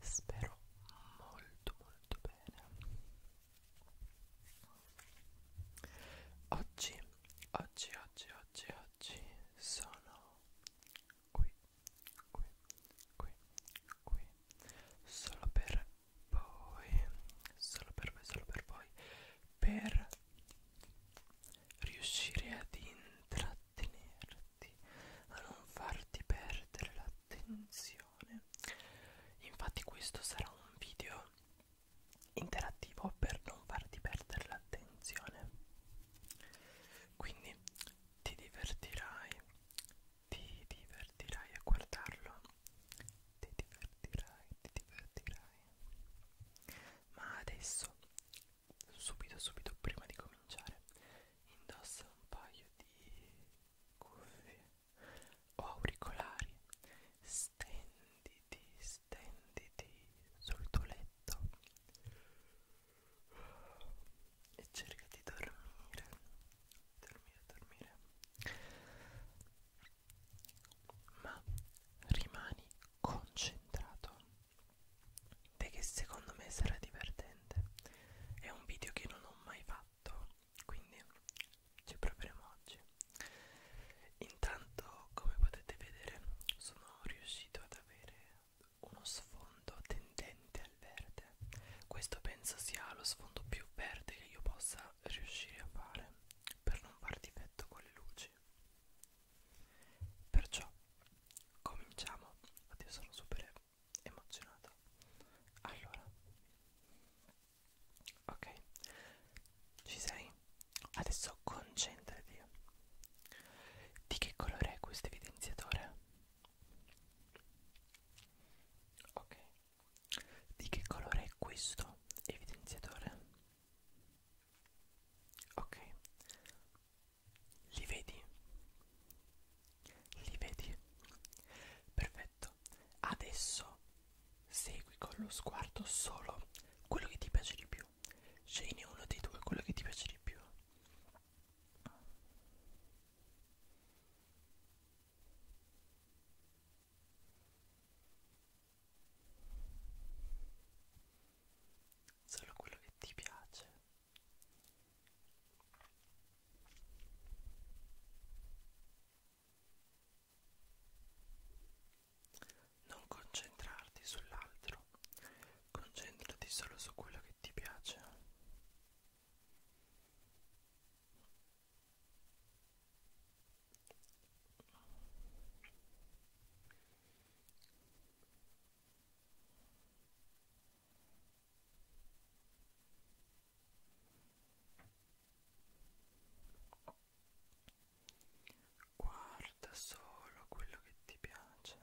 Spero molto molto bene. Oggi, oggi, oggi, oggi, oggi sono qui, qui, qui, qui, solo per voi, solo per voi, solo per voi, per riuscire ad intrattenerti, a non farti perdere l'attenzione. Infatti questo sarà un video interattivo per non farti perdere l'attenzione. Quindi ti divertirai, ti divertirai a guardarlo, ti divertirai, ti divertirai. Ma adesso subito subito prima di cominciare indossa un paio di cuffie o auricolari stenditi stenditi sul tuo letto e cerca di dormire dormire dormire ma rimani concentrato perché secondo me sarà divertente è un video che non ho mai fatto quindi ci proveremo oggi intanto come potete vedere sono riuscito ad avere uno sfondo tendente al verde questo penso sia lo sfondo più verde che io possa riuscire a fare per non far difetto con le luci Perciò cominciamo. Oddio, sono super emozionata. Allora, ok, ci sei? Adesso concentrati. Di che colore è questo evidenziatore? Ok, di che colore è questo evidenziatore? ok li vedi li vedi perfetto adesso segui con lo sguardo solo quello che ti piace di più scegli uno dei due quello che ti piace di più solo quello che ti piace non concentrarti sull'altro concentrati solo su quello che ti piace Guarda solo quello che ti piace.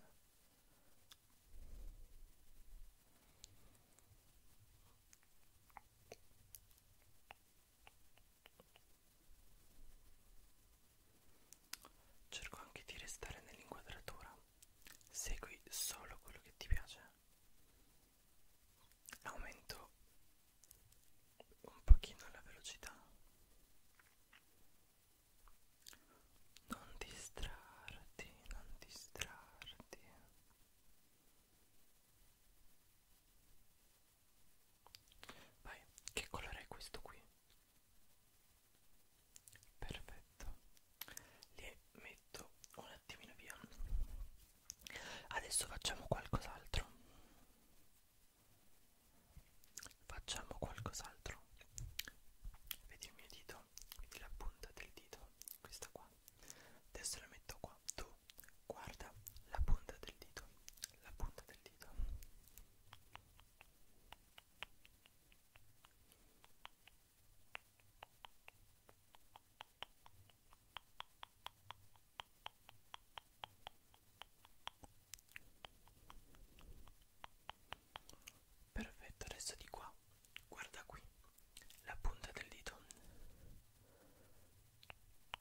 Cerco anche di restare nell'inquadratura. Segui solo quello che ti piace. Aumento un pochino la velocità. Non distrarti, non distrarti. Vai, che colore è questo qui? Perfetto, li metto un attimino via. Adesso facciamo qualcos'altro. Facciamo qualcos'altro. Vedi il mio dito, vedi la punta del dito, questa qua. Adesso la metto qua. Tu guarda la punta del dito, la punta del dita perfetto adesso di qua guarda qui la punta del dito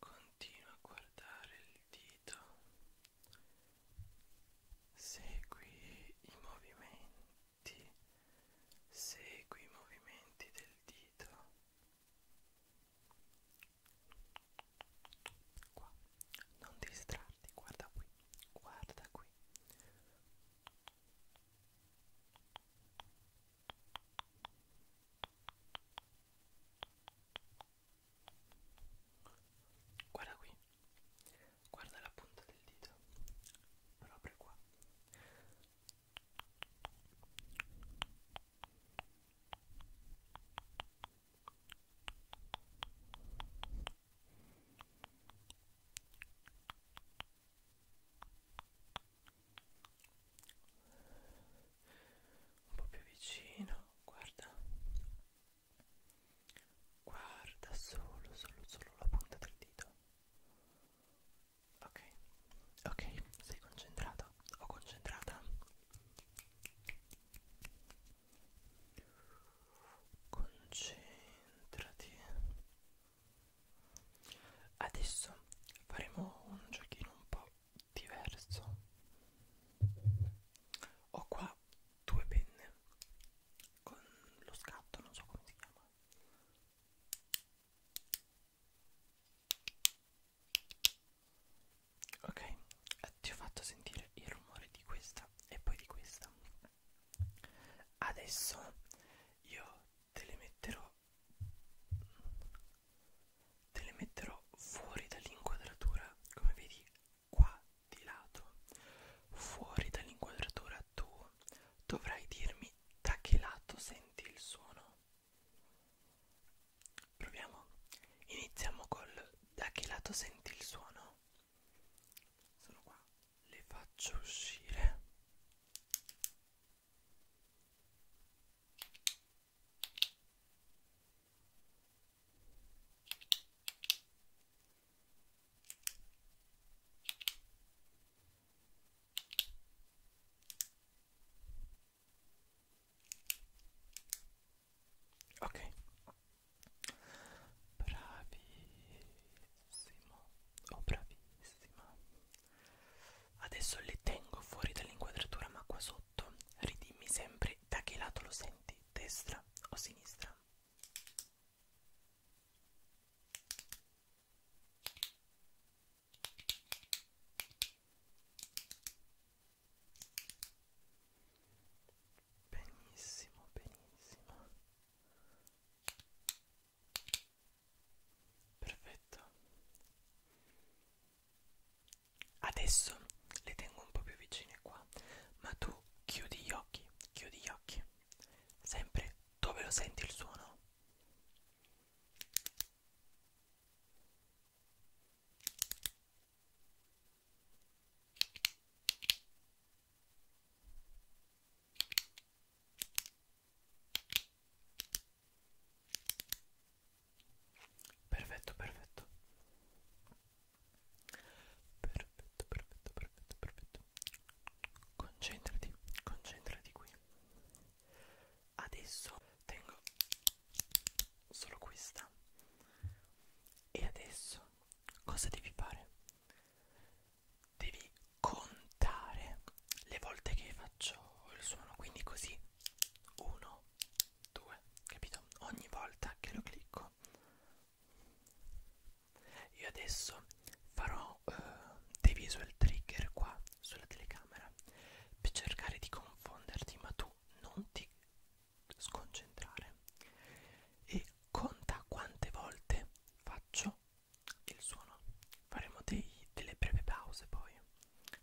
Continua a guardare il dito. Segui i movimenti. Segui i movimenti del dito. Qua. Non distrarti, guarda qui. Guarda qui. Guarda qui. Guarda qui, guarda la punta del dito, proprio qua un po' più vicino guarda guarda solo solo solo la punta del dito ok ok sei concentrato o concentrata concentrati adesso faremo un giochino un po' diverso ho qua due penne con lo scatto non so come si chiama ok ti ho fatto sentire il rumore di questa e poi di questa adesso io te le metterò te le metterò fuori dall'inquadratura come vedi qua di lato fuori dall'inquadratura tu dovrai dirmi da che lato senti il suono proviamo iniziamo col da che lato senti il suono sono qua le faccio uscire Ok, bravissimo o oh, bravissima Adesso le tengo fuori dall'inquadratura ma qua sotto ridimmi sempre da che lato lo senti, destra o sinistra. Benissimo, benissimo. Perfetto. Adesso le tengo un po' più vicine qua, ma tu chiudi gli occhi, chiudi gli occhi. Sempre dove lo senti il suono? Perfetto, perfetto. Perfetto, perfetto, perfetto, perfetto. Concentrati, concentrati qui. Adesso tengo solo questa. E adesso cosa devi fare? Devi contare le volte che faccio il suono quindi così 1 2 capito ogni volta che lo clicco io adesso farò eh, diviso il trigger qua sulla telecamera per cercare di confonderti ma tu non ti sconcentrare e conta quante volte faccio il suono faremo dei, delle breve pause poi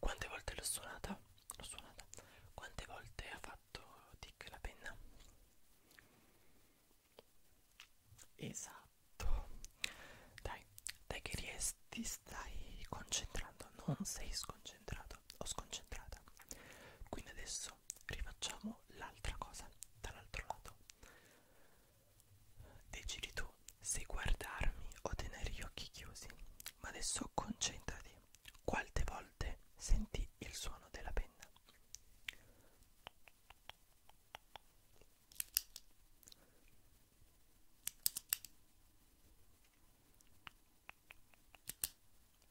Quante volte l'ho suonata? L'ho suonata. Quante volte ha fatto tic la penna? Esatto. Dai, dai che riesci, ti stai concentrando, non sei sconcentrato o sconcentrata. Quindi adesso adesso rifacciamo l'altra cosa dall'altro lato decidi tu se guardarmi o tenere gli occhi chiusi ma adesso concentrati quante volte senti il suono della penna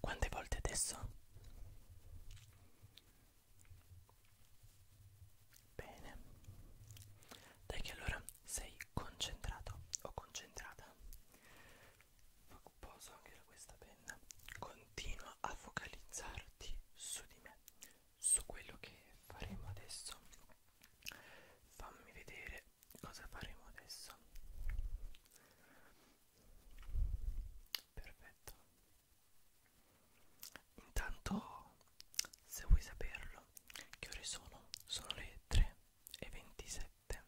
Quante volte adesso? Bene. Dai che allora sei concentrato o concentrata. Poso anche questa penna. Continua a focalizzarti su di me, su quello che faremo adesso. Fammi vedere cosa faremo adesso perfetto intanto se vuoi saperlo che ore sono sono le 3 e 27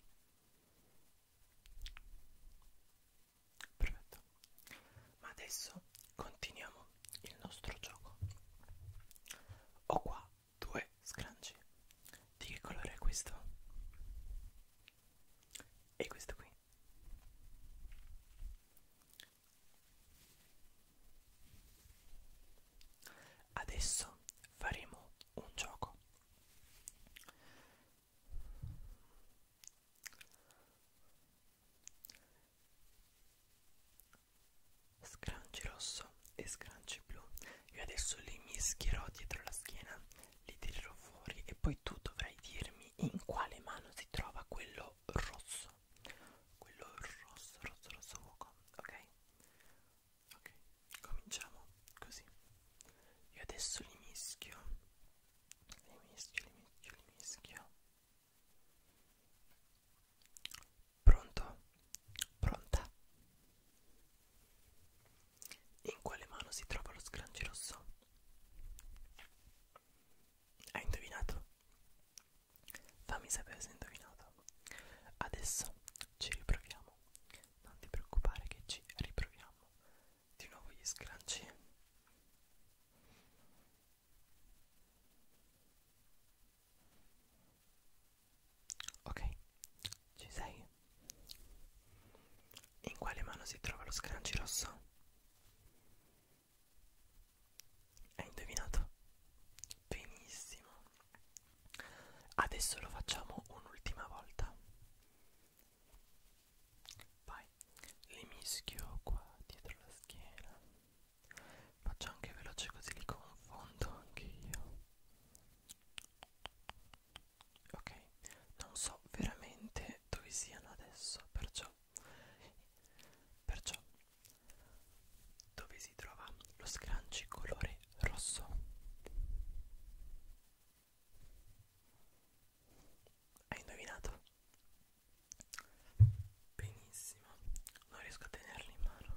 perfetto ma adesso continuiamo il nostro gioco ho qua due scrunchie di che colore è questo? e questo qui adesso faremo un gioco scranci rosso e scranci blu io adesso li mischierò dietro la schiena li tirerò fuori e poi tu dovrai dirmi in quale mano si trova quello rosso quello rosso rosso rosso fuoco ok ok cominciamo così io adesso li mischio li mischio li mischio li mischio Pronto? Pronta? In quale mano si trova lo scranci rosso? Hai indovinato? Fammi sapere se hai indovinato. Adesso ci riproviamo. Non ti preoccupare che ci riproviamo. Di nuovo gli scranci. Ok, ci sei? In quale mano si trova lo scranci rosso? Hai indovinato? Benissimo. Adesso lo facciamo un'ultima volta. Vai, li mischio qua dietro la schiena. Faccio anche veloce così li confondo anche io. Ok, non so veramente dove siano adesso, perciò perciò dove si trova lo scranci colore rosso. Hai indovinato? Benissimo, non riesco a tenerli in mano.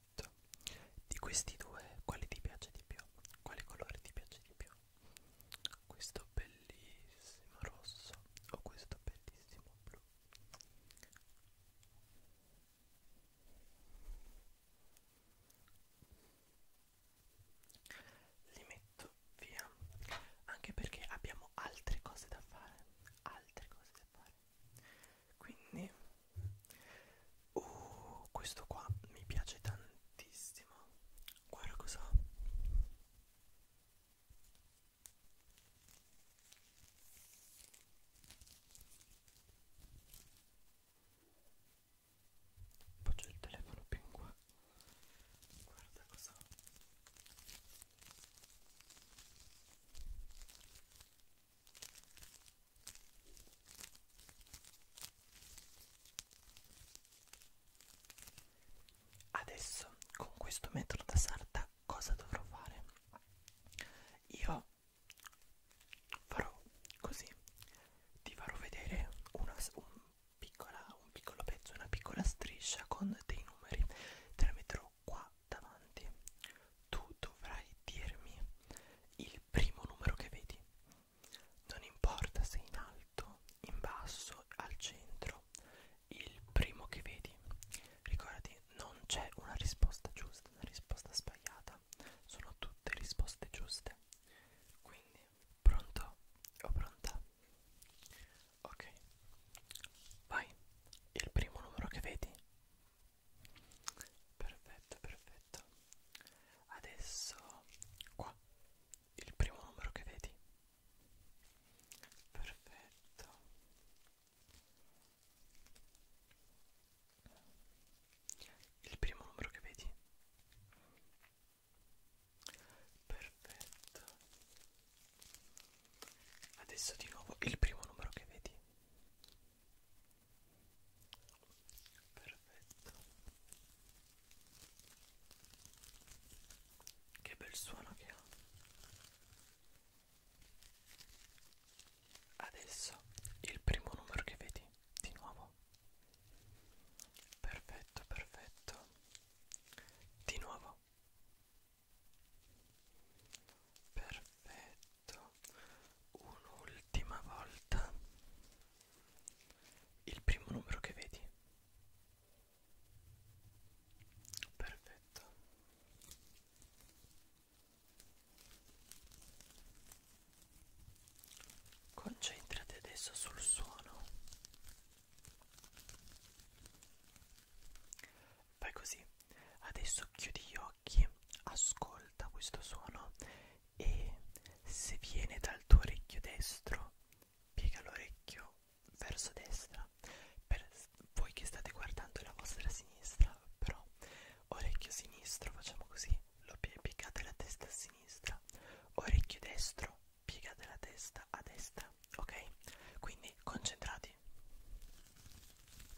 perfetto di questi due quale ti piace di più quale colore ti piace di più questo bellissimo rosso o questo bellissimo blu li metto via anche perché abbiamo altre cose da fare altre cose da fare quindi Uh, questo qua mi piace tantissimo. Guarda cosa. Faccio il telefono più in qua. Guarda cosa. Adesso con questo metro da sarta cosa dovrò fare? Io farò così, ti farò vedere una, un, piccola, un piccolo pezzo, una piccola striscia con dei numeri, te la metterò qua davanti, tu dovrai dirmi il primo numero che vedi. Non importa se in alto, in basso, al centro, il primo che vedi. Ricordati, non c'è una risposta giusta, una risposta sbagliata, sono tutte risposte giuste. Quindi, pronto o pronta? Ok, vai, il primo numero che vedi perfetto perfetto adesso qua il primo numero che vedi perfetto il primo numero che vedi perfetto adesso di nuovo il primo numero che vedi Perfetto. Che bel suono che ha. Adesso il primo numero che vedi di nuovo. Perfetto, perfetto. Di nuovo. Perfetto fatto un'ultima volta il primo numero che vedi perfetto concentrati adesso sul suono fai così adesso chiudi gli occhi occhi, ascolta questo suono e se viene dal tuo orecchio destro, piega l'orecchio verso destra. Per voi che state guardando la vostra sinistra, però orecchio sinistro, facciamo così, lo piegate la testa a sinistra, orecchio destro, piegate la testa a destra, ok? Quindi concentrati.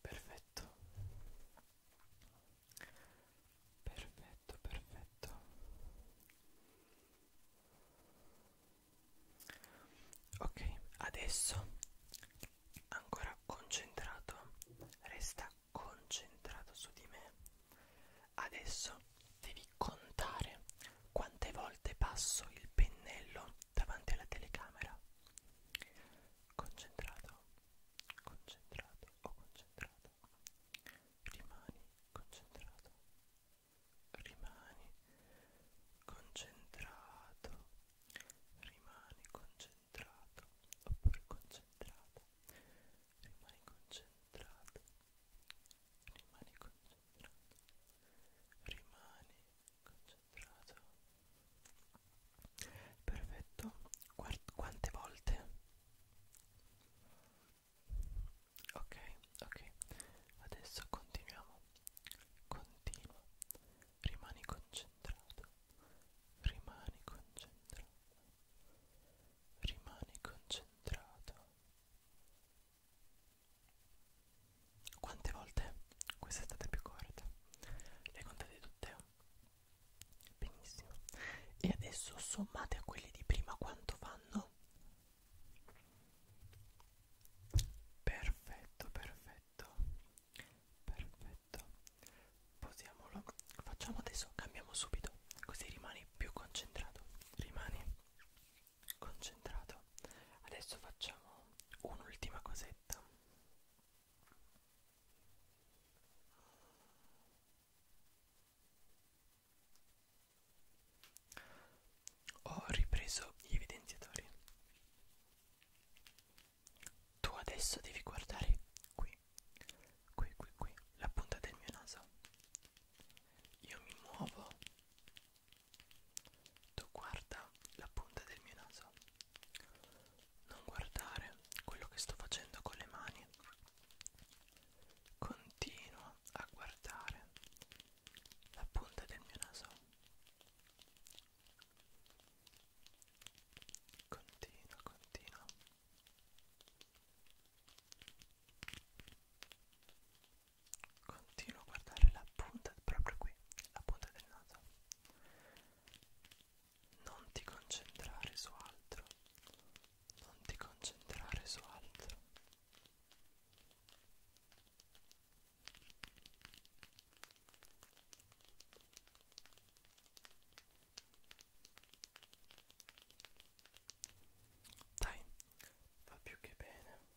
Perfetto. Perfetto, perfetto. Ok, adesso ancora concentrato, resta concentrato su di me. Adesso devi contare quante volte passo il pennello davanti alla telecamera. Concentrato, concentrato o concentrato. Rimani concentrato. Rimani concentrato. Rimani concentrato. Oppure concentrato. Rimani concentrato. Rimani concentrato concentrato rimani concentrato perfetto Guard quante volte ok ok adesso continuiamo continua rimani concentrato rimani concentrato rimani concentrato quante volte questa è stata più corta? Le contate tutte? Benissimo. E adesso sommate a quelli di prima quanto fanno? Perfetto, perfetto. Perfetto. Posiamolo. Facciamo adesso, cambiamo subito, così rimani più concentrato. Rimani concentrato adesso facciamo un'ultima cosetta ho ripreso gli evidenziatori tu adesso devi guardare qui qui qui qui la punta del mio naso io mi muovo tu guarda la punta del mio naso. Non guardare quello che sto facendo con le mani. Continua a guardare la punta del mio naso. Continua, continua continuo a guardare la punta proprio qui, la punta del naso. Non ti concentrare su altro. Non ti concentrare su altro. Dai, va più che bene.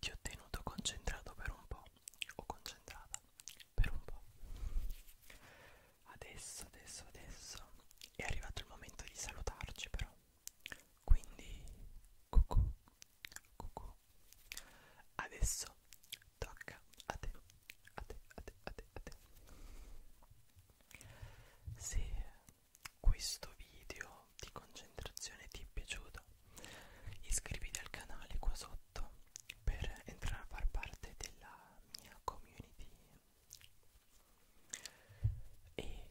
Ti ho tenuto concentrato per un po', o concentrata per un po'. Adesso, adesso, adesso è arrivato il momento di salutarci però. Quindi, cucù, cucù. Adesso tocca a te, a te, a te, a te, a te. Se questo video di concentrazione ti è piaciuto iscriviti al canale qua sotto per entrare a far parte della mia community e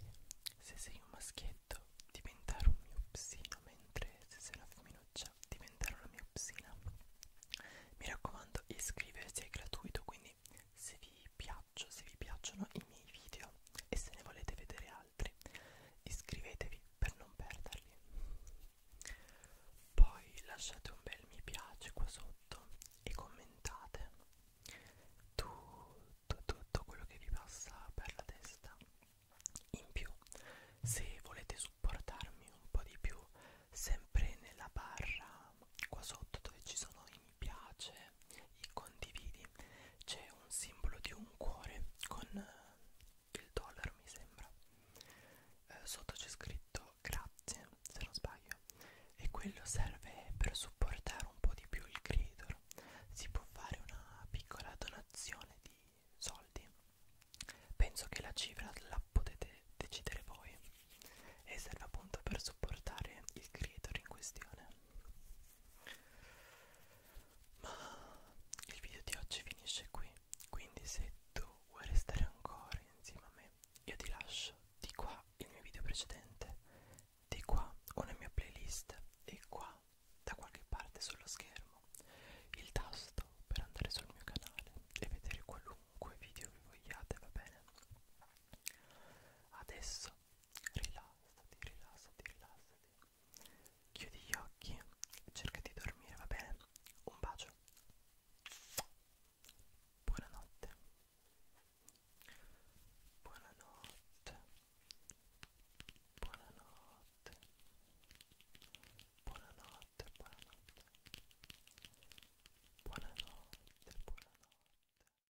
se sei un maschietto diventare un mio psino mentre se sei una femminuccia diventare una mia psina mi raccomando iscriversi è gratuito quindi se vi piace abbraccio se vi piacciono i miei video e se ne volete vedere altri iscrivetevi per non perderli poi lasciate un bel mi piace qua sotto e commentate tutto, tutto quello che vi passa per la testa in più se volete supportarmi un po' di più sempre nella barra qua sotto dove ci sono i mi piace i condividi c'è un simbolo di un cuore con eh, il dollaro mi sembra eh, sotto c'è scritto grazie se non sbaglio e quello serve per supportare un po' di più il creator si può fare una piccola donazione di soldi penso che la cifra la potete decidere voi e serve appunto per supportare il creator in questione ma il video di oggi finisce qui, quindi se tu vuoi restare ancora insieme a me, io ti lascio di qua il mio video precedente, di qua una mia playlist e qua da qualche parte sullo schermo il tasto per andare sul mio canale e vedere qualunque video che vogliate, va bene? Adesso rilasso, rilassati, rilassati, rilassati. Chiudi gli occhi e cerca di dormire, va bene? Un bacio. Buonanotte. Buonanotte. Buonanotte. Buonanotte, buonanotte. Buonanotte, buonanotte.